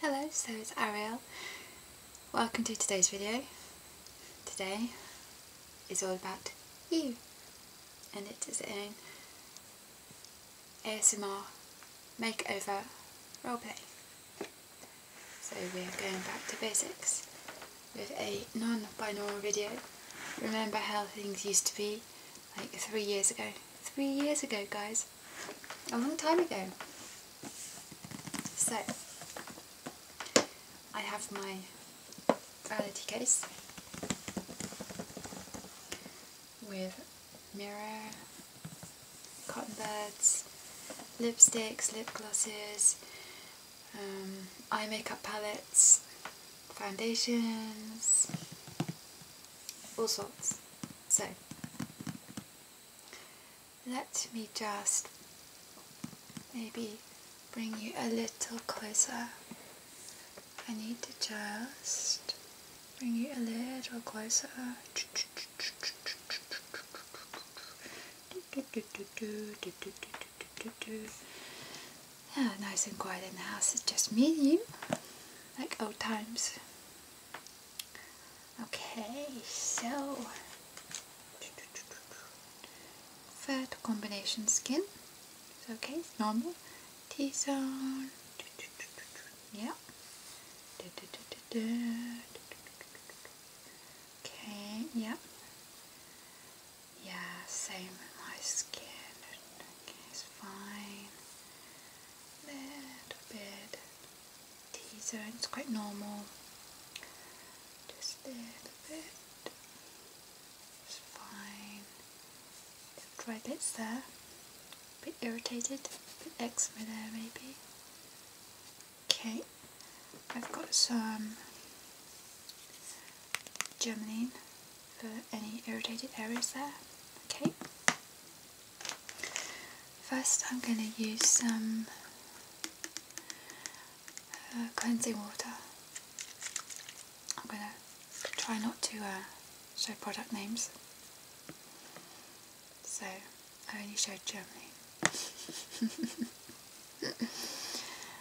Hello, so it's Ariel. Welcome to today's video. Today is all about you and it is an ASMR makeover roleplay. So we are going back to basics with a non-binaural video. Remember how things used to be like three years ago. Three years ago guys, a long time ago. So, I have my reality case with mirror, cotton buds, lipsticks, lip glosses, um, eye makeup palettes, foundations, all sorts. So let me just maybe bring you a little closer. I need to just bring you a little closer. Yeah, nice and quiet in the house, it's just me and you, like old times. Okay, so fat combination skin. okay, it's normal. T zone. Yeah. Okay, yeah. Yeah, same with my skin. Okay, it's fine little bit teaser, it's quite normal. Just a little bit, it's fine. The dry bits there, a bit irritated, a bit eczema there maybe. Okay, I've got some germaline for any irritated areas there. Okay, First I'm going to use some uh, cleansing water. I'm going to try not to uh, show product names. So I only showed Germany.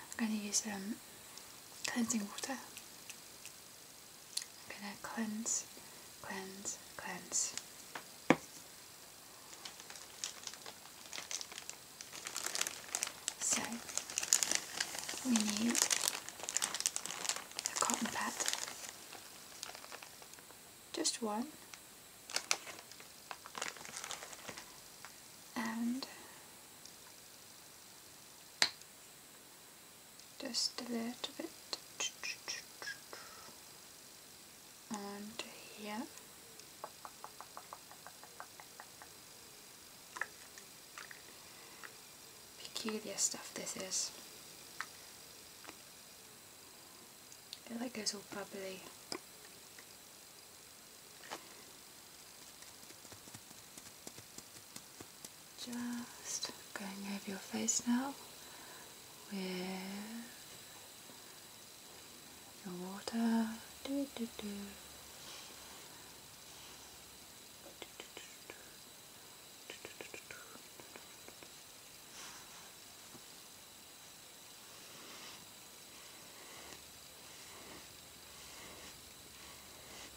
I'm going to use um, cleansing water I'm gonna cleanse, cleanse, cleanse. So we need a cotton pad, just one, and just a little bit and here peculiar stuff this is it like goes all bubbly just going over your face now with the water.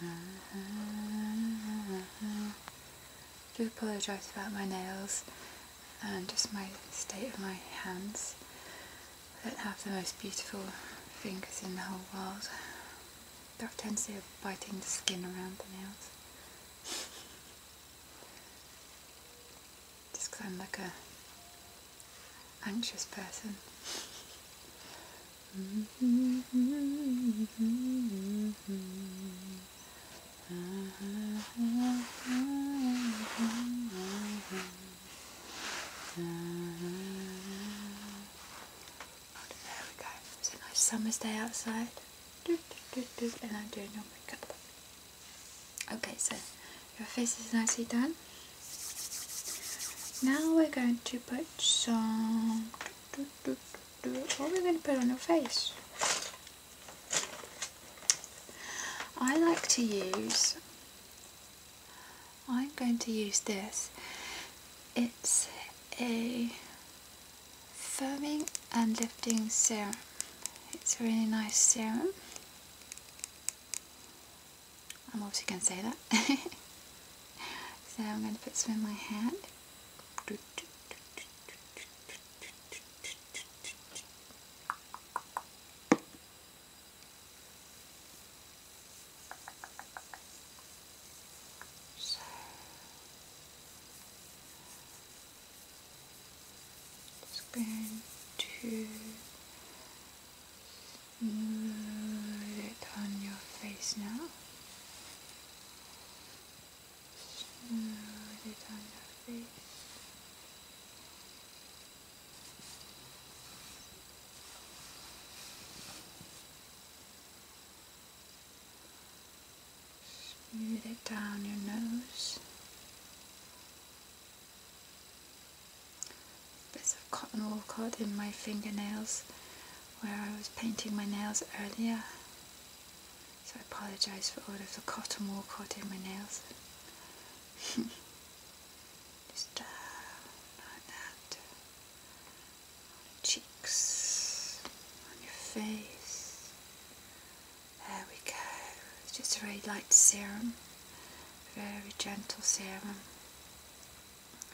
I do apologise about my nails and just my state of my hands. I don't have the most beautiful fingers in the whole world. Got a tendency of biting the skin around the nails. Just because I'm like a anxious person. Oh, there we go. It's a nice summer's day outside. and I'm doing your makeup. Okay, so your face is nicely done. Now we're going to put some. What are we going to put on your face? I like to use. I'm going to use this. It's a firming and lifting serum. It's a really nice serum. I'm obviously going to say that. so I'm going to put some in my hand. So. Just going to Smooth it on your face now. Smooth it on your face. Smooth it down your nose bits of cotton wool caught in my fingernails where I was painting my nails earlier. So I apologise for all of the cotton wool caught in my nails. Just down uh, like that. cheeks, on your face. There we go. just a very light serum. Very gentle serum.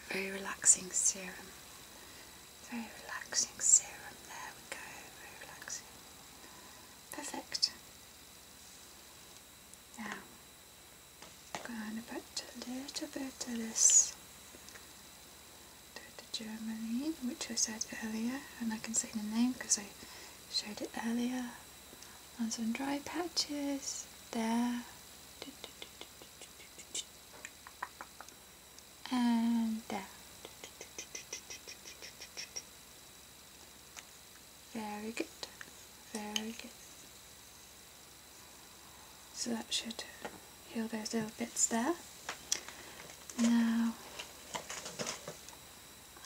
Very relaxing serum. Very relaxing serum. There we go. Very relaxing. Perfect. Now, I'm going to put a little bit of this Germaline, which I said earlier, and I can say the name because I showed it earlier on some dry patches there and there very good very good so that should heal those little bits there now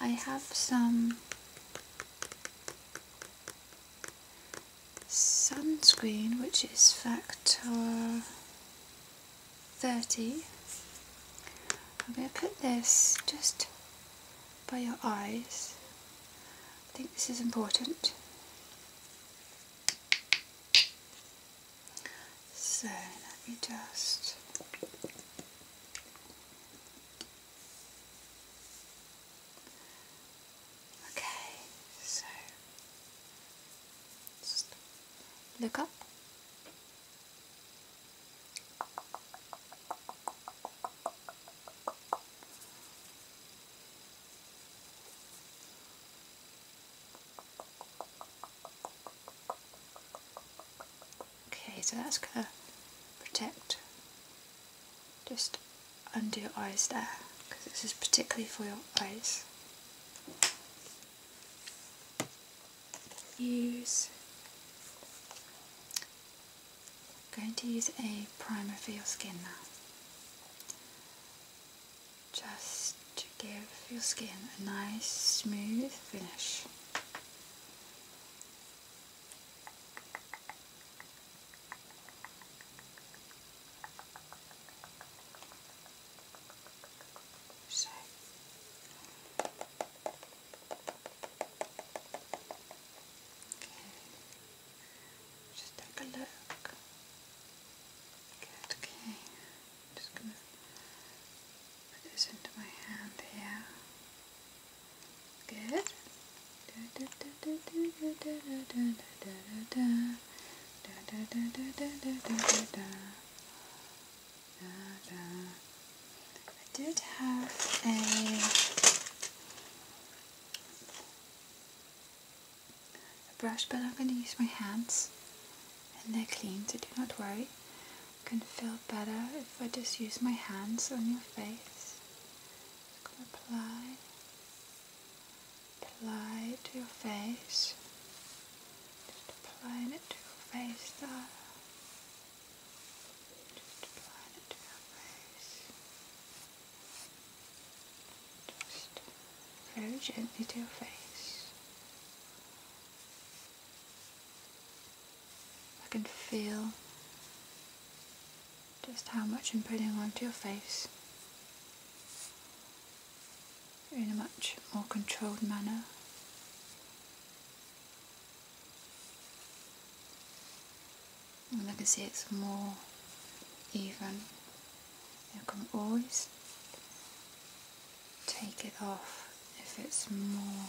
I have some sunscreen which is factor 30 I'm going to put this just by your eyes I think this is important so let me just Okay, so look up. Okay, so that's going to protect just under your eyes there because this is particularly for your eyes. Use going to use a primer for your skin now. Just to give your skin a nice smooth finish. So okay. just take a look. okay. just gonna put this into my hand here. Good. I did have a brush, but I'm going to use my hands and they're clean, so do not worry. I can feel better if I just use my hands on your face gonna apply, apply it to your face. Just applying it to your face there. Just applying it to your face. Just very gently to your face. I can feel just how much I'm putting onto your face in a much more controlled manner. And I can see it's more even. You can always take it off if it's more,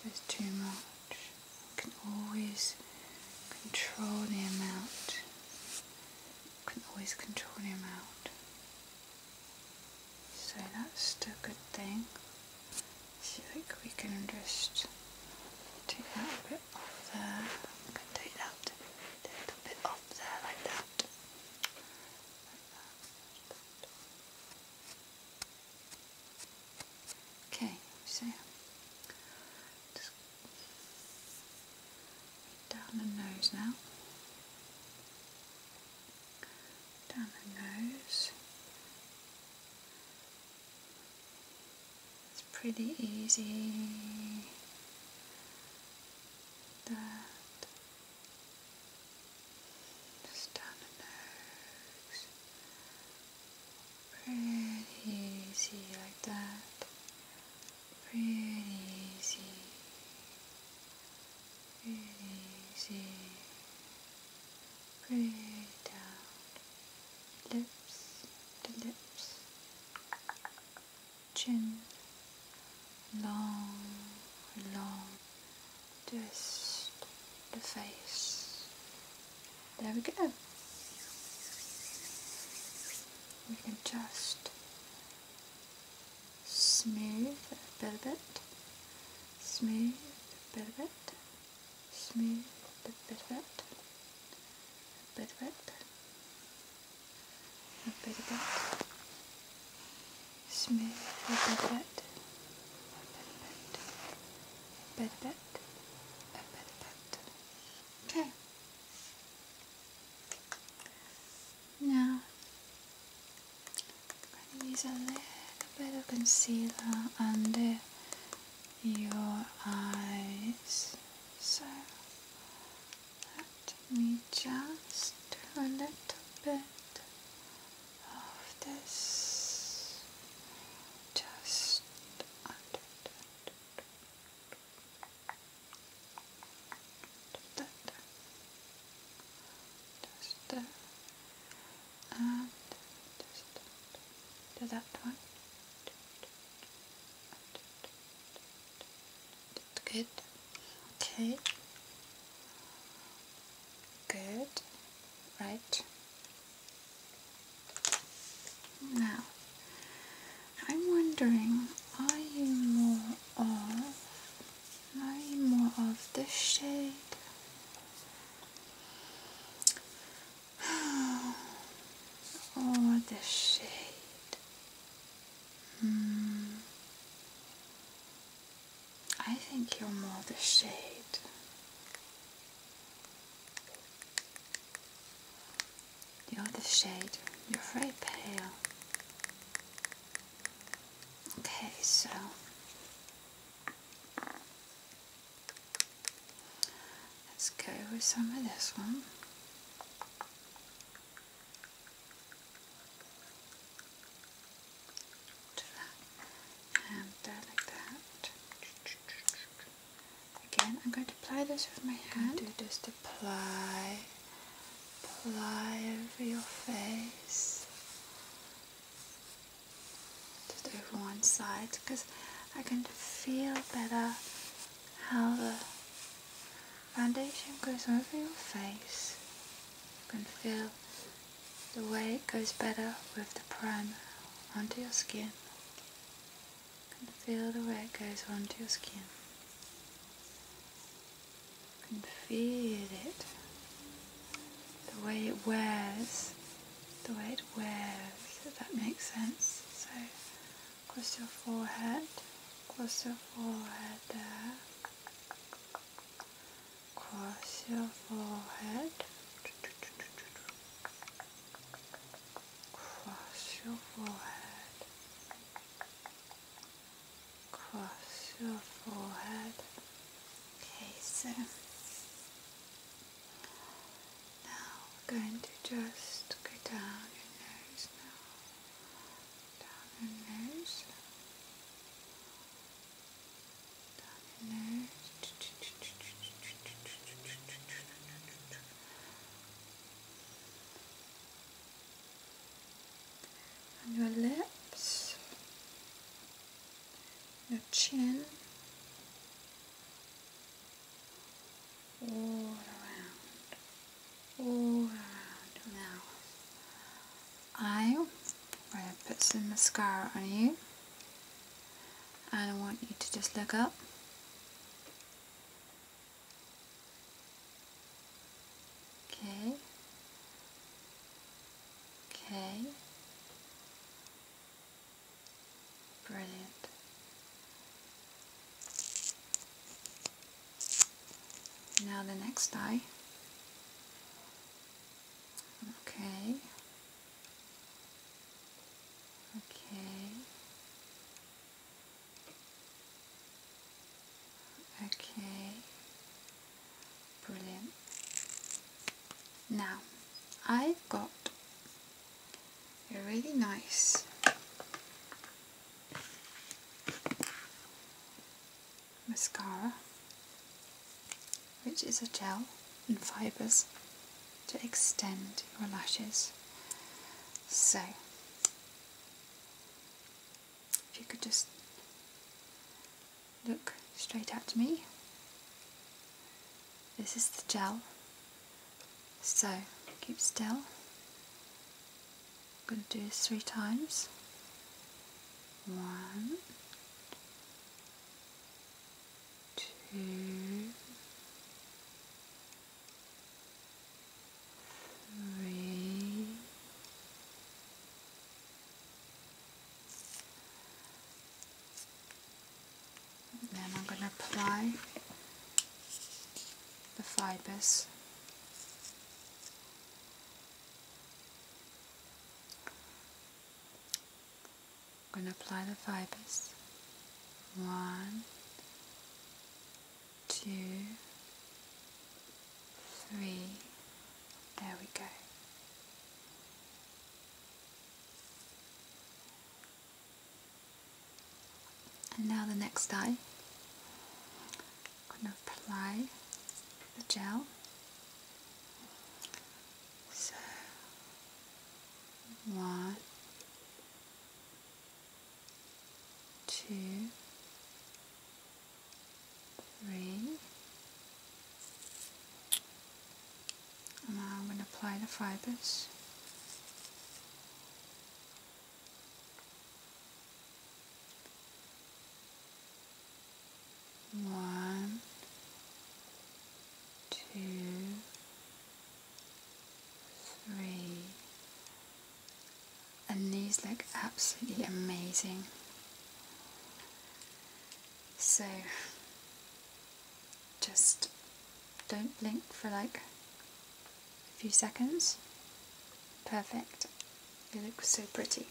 if it's too much. You can always control the amount. You can always control the amount. So that's still a good thing. I think we can just take a bit off there. We can take that little bit off there Like that. Okay, so just down the nose now. Down the nose. It's pretty easy. That. Just down the nose. Pretty easy like that. Pretty easy. Pretty easy. Pretty down. Lips the lips. Chin. Long, long just the face. There we go. We can just smooth a bit little bit, smooth a bit little bit, smooth a bit little bit, a little bit, a little bit, smooth a little bit, a little bit a bed. A bed Okay. Now I'm gonna use a little bit of concealer under your eyes. So let me just do a little bit of this just under that. Just there. And just do that one. That's good. Okay. Good. Right. Now, I'm wondering, are you more of, are you more of this shade? or this shade? Mm. I think you're more the shade. You're the shade. You're very pale. Okay, so let's go with some of this one and uh, Again, I'm going to apply this with my hand. Do just apply, apply over your face, just over one side, because I can feel better how the foundation goes over your face. I can feel the way it goes better with the primer onto your skin. can feel the way it goes onto your skin. can feel it. The way it wears. The way it wears, if that makes sense. So across your forehead, across your forehead there. Cross your forehead, cross your forehead, cross your forehead. Okay, so now we're going to just go down your nose now, down your nose. On your lips, your chin, all around, all around your eye where I put some mascara on you and I want you to just look up okay okay brilliant now the next eye Okay. Okay. Okay. Brilliant. Now, I've got a really nice mascara, which is a gel and fibres to extend your lashes. So, if you could just look straight at me. This is the gel. So, keep still. I'm going to do this three times. One, two, three, then I'm going to apply the fibers I'm going to apply the fibers. One, two, three. There we go. And now the next eye gonna apply the gel. So one, two, three, and now I'm going to apply the fibers. One, two, three, and these look absolutely amazing. So just don't blink for like a few seconds. Perfect. They look so pretty.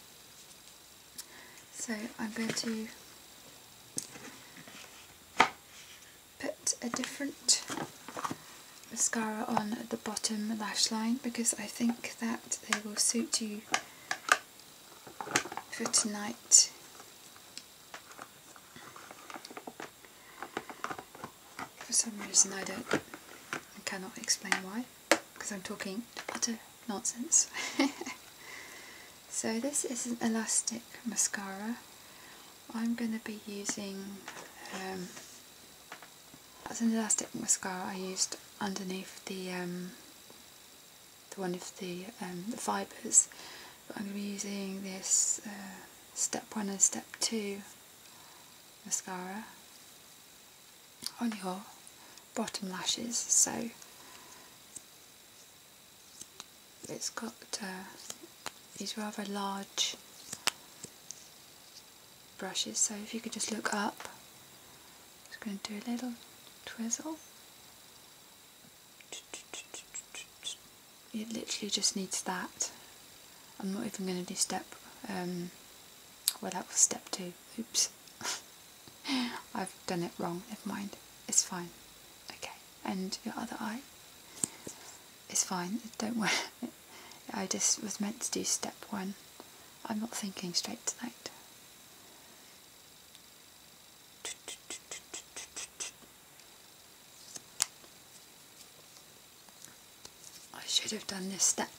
So I'm going to put a different mascara on at the bottom lash line because I think that they will suit you for tonight. For some reason I don't, I cannot explain why because I'm talking utter nonsense. so this is an elastic mascara. I'm going to be using, um, that's an elastic mascara I used underneath the um, the one of the, um, the fibres. But I'm going to be using this uh, step one and step two mascara on your bottom lashes so it's got uh, these rather large brushes so if you could just look up just going to do a little twizzle it literally just needs that I'm not even going to do step um, well that was step two Oops. I've done it wrong. Never mind. It's fine. Okay. And your other eye? It's fine. Don't worry. I just was meant to do step one. I'm not thinking straight tonight. I should have done this step.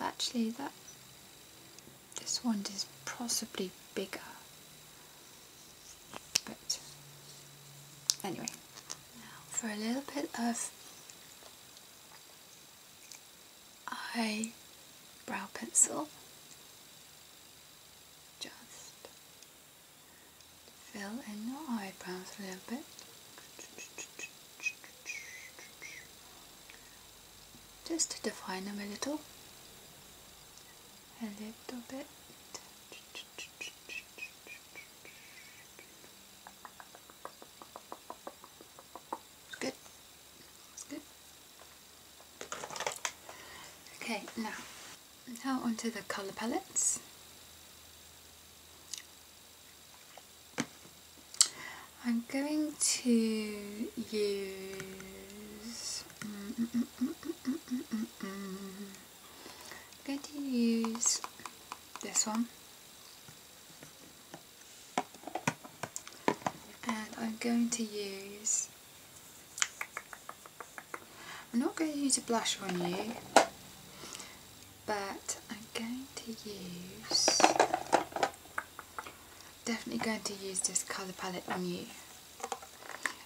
Actually that this one is possibly bigger. But anyway, now for a little bit of eye brow pencil. Just fill in your eyebrows a little bit. Just to define them a little. A little bit. good. It's good. Okay, now now onto the colour palettes. I'm going to use going to use this one and I'm going to use I'm not going to use a blush on you but I'm going to use, definitely going to use this colour palette on you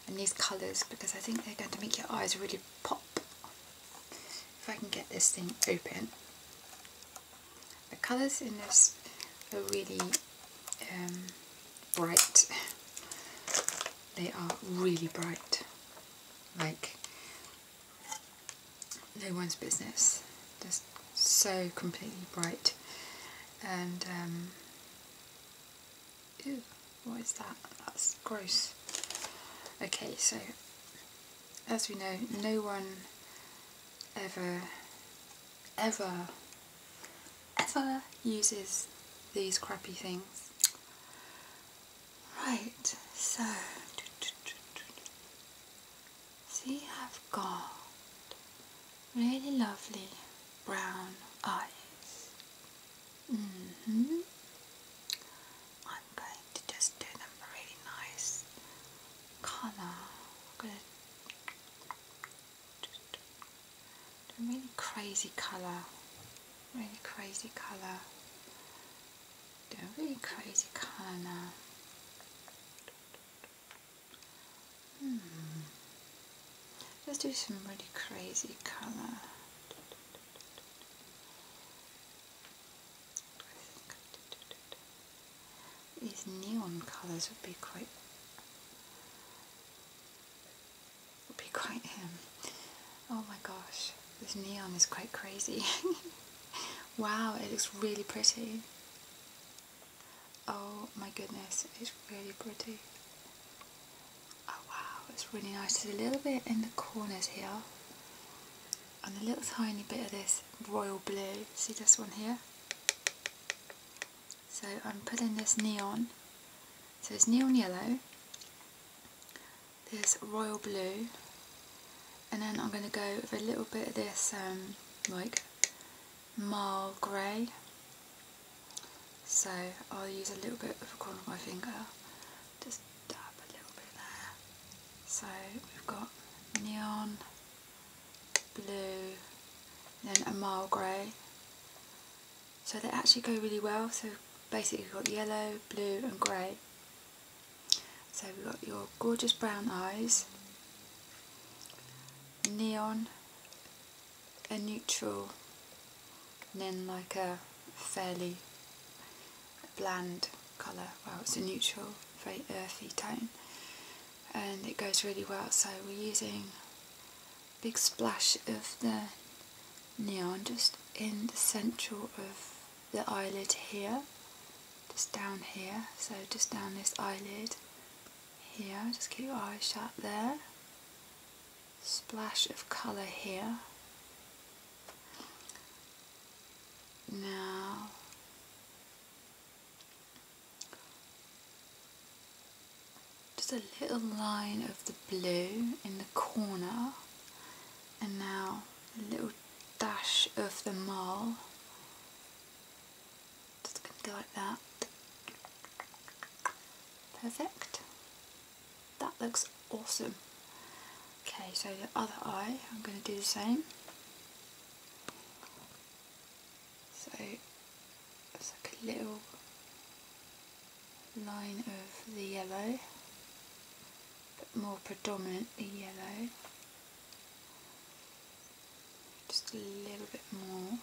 and these colours because I think they're going to make your eyes really pop. If I can get this thing open. The colours in this are really um, bright. They are really bright like no one's business. Just so completely bright. And um, ew, what is that? That's gross. Okay, so as we know, no one ever, ever, ever uses these crappy things. Right, so see, I've got really lovely brown eyes. hmm I'm going to just do them a really nice color. going to do a really crazy color. Really crazy colour. Do a really crazy colour hmm. Let's do some really crazy colour. These neon colours would be quite would be quite him. Oh my gosh, this neon is quite crazy. wow, it looks really pretty. Oh my goodness, it's really pretty. Oh wow, it's really nice. a little bit in the corners here. And a little tiny bit of this royal blue. See this one here? So I'm putting this neon so it's neon yellow, there's royal blue, and then I'm going to go with a little bit of this um, like marl grey. So I'll use a little bit of a corner of my finger, just dab a little bit there. So we've got neon, blue, then a marl grey, so they actually go really well. So basically we've got yellow, blue and grey. So we've got your gorgeous brown eyes, neon, a neutral, and then like a fairly bland colour. Well, it's a neutral, very earthy tone, and it goes really well. So we're using big splash of the neon just in the central of the eyelid here just down here so just down this eyelid here just keep your eyes shut there splash of colour here now just a little line of the blue in the corner and now a little dash of the mole just going to go like that perfect that looks awesome okay so the other eye I'm going to do the same so it's like a little line of the yellow but more predominantly yellow just a little bit more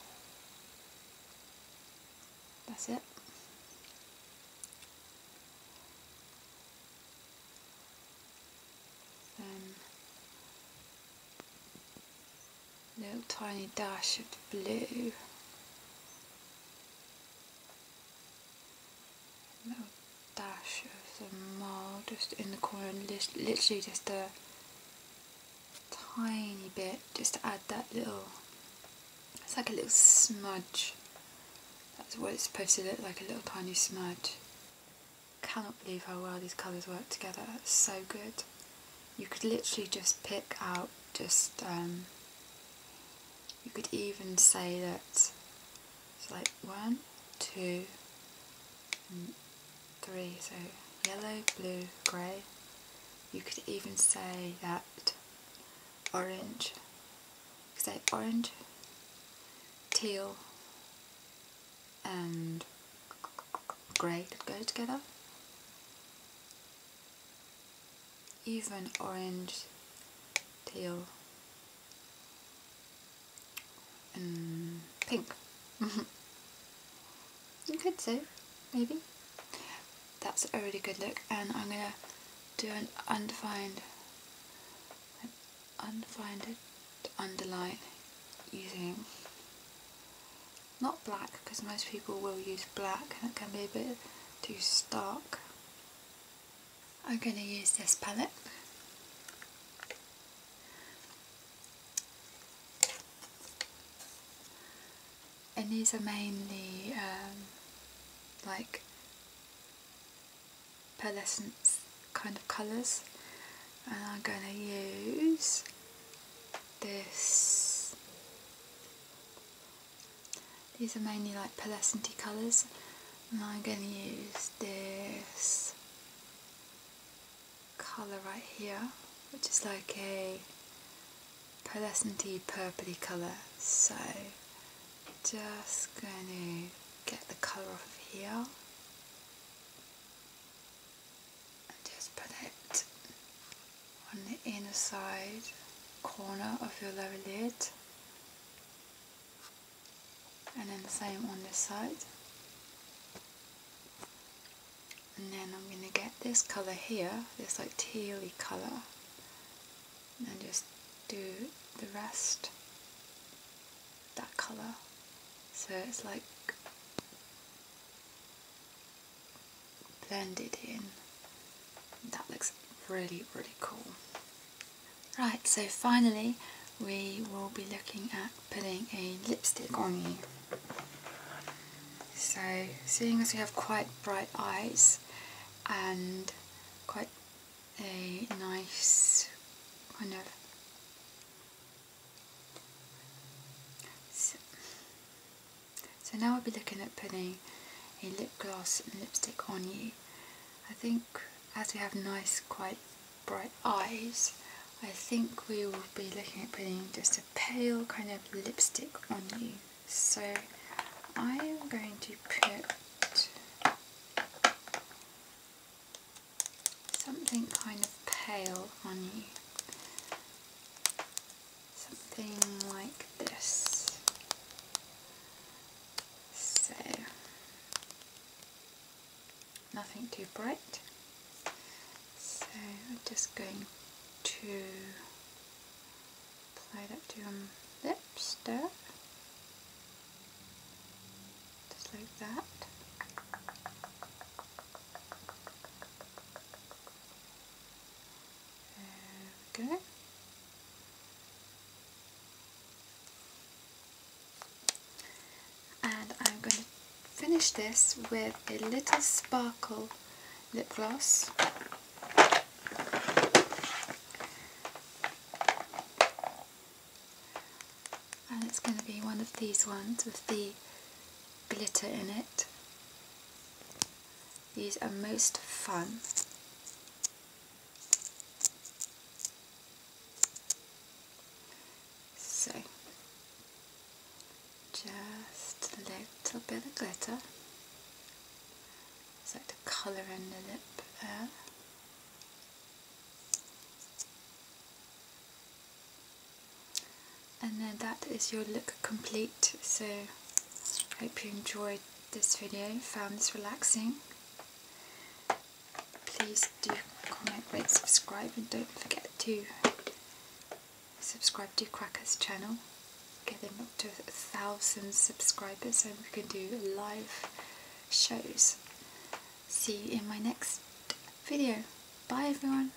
that's it then um, little tiny dash of blue little dash of the mole just in the corner and literally just a tiny bit just to add that little it's like a little smudge that's what it's supposed to look like a little tiny smudge cannot believe how well these colours work together so good you could literally just pick out just um, you could even say that it's like one two mm, three so yellow blue grey you could even say that orange you could orange teal and grey go together even orange teal and pink you could say, maybe that's a really good look and I'm gonna do an undefined an undefined underline using not black because most people will use black and it can be a bit too stark. I'm going to use this palette. And these are mainly um, like pearlescence kind of colours and I'm going to use this these are mainly like pearlescenty colours and I'm going to use this colour right here which is like a pearlescenty purpley colour so just going to get the colour off here and just put it on the inner side corner of your lower lid and then the same on this side and then I'm going to get this colour here, this like tealy colour and just do the rest that colour so it's like blended in. That looks really, really cool. Right, so finally we will be looking at putting a lipstick on you. So, seeing as we have quite bright eyes and quite a nice kind of so now I'll be looking at putting a lip gloss and lipstick on you. I think as we have nice quite bright eyes I think we will be looking at putting just a pale kind of lipstick on you. So I am going to put something kind of pale on you something like this. So, nothing too bright. So I'm just going to apply that to your lipstick, Just like that. Okay, And I'm going to finish this with a little sparkle lip gloss. And it's going to be one of these ones with the glitter in it. These are most fun. So, just a little bit of glitter. It's like the colour in the lip there and then that is your look complete so hope you enjoyed this video found this relaxing please do comment rate subscribe and don't forget to subscribe to Cracker's channel getting up to a thousand subscribers and we can do live shows see you in my next video bye everyone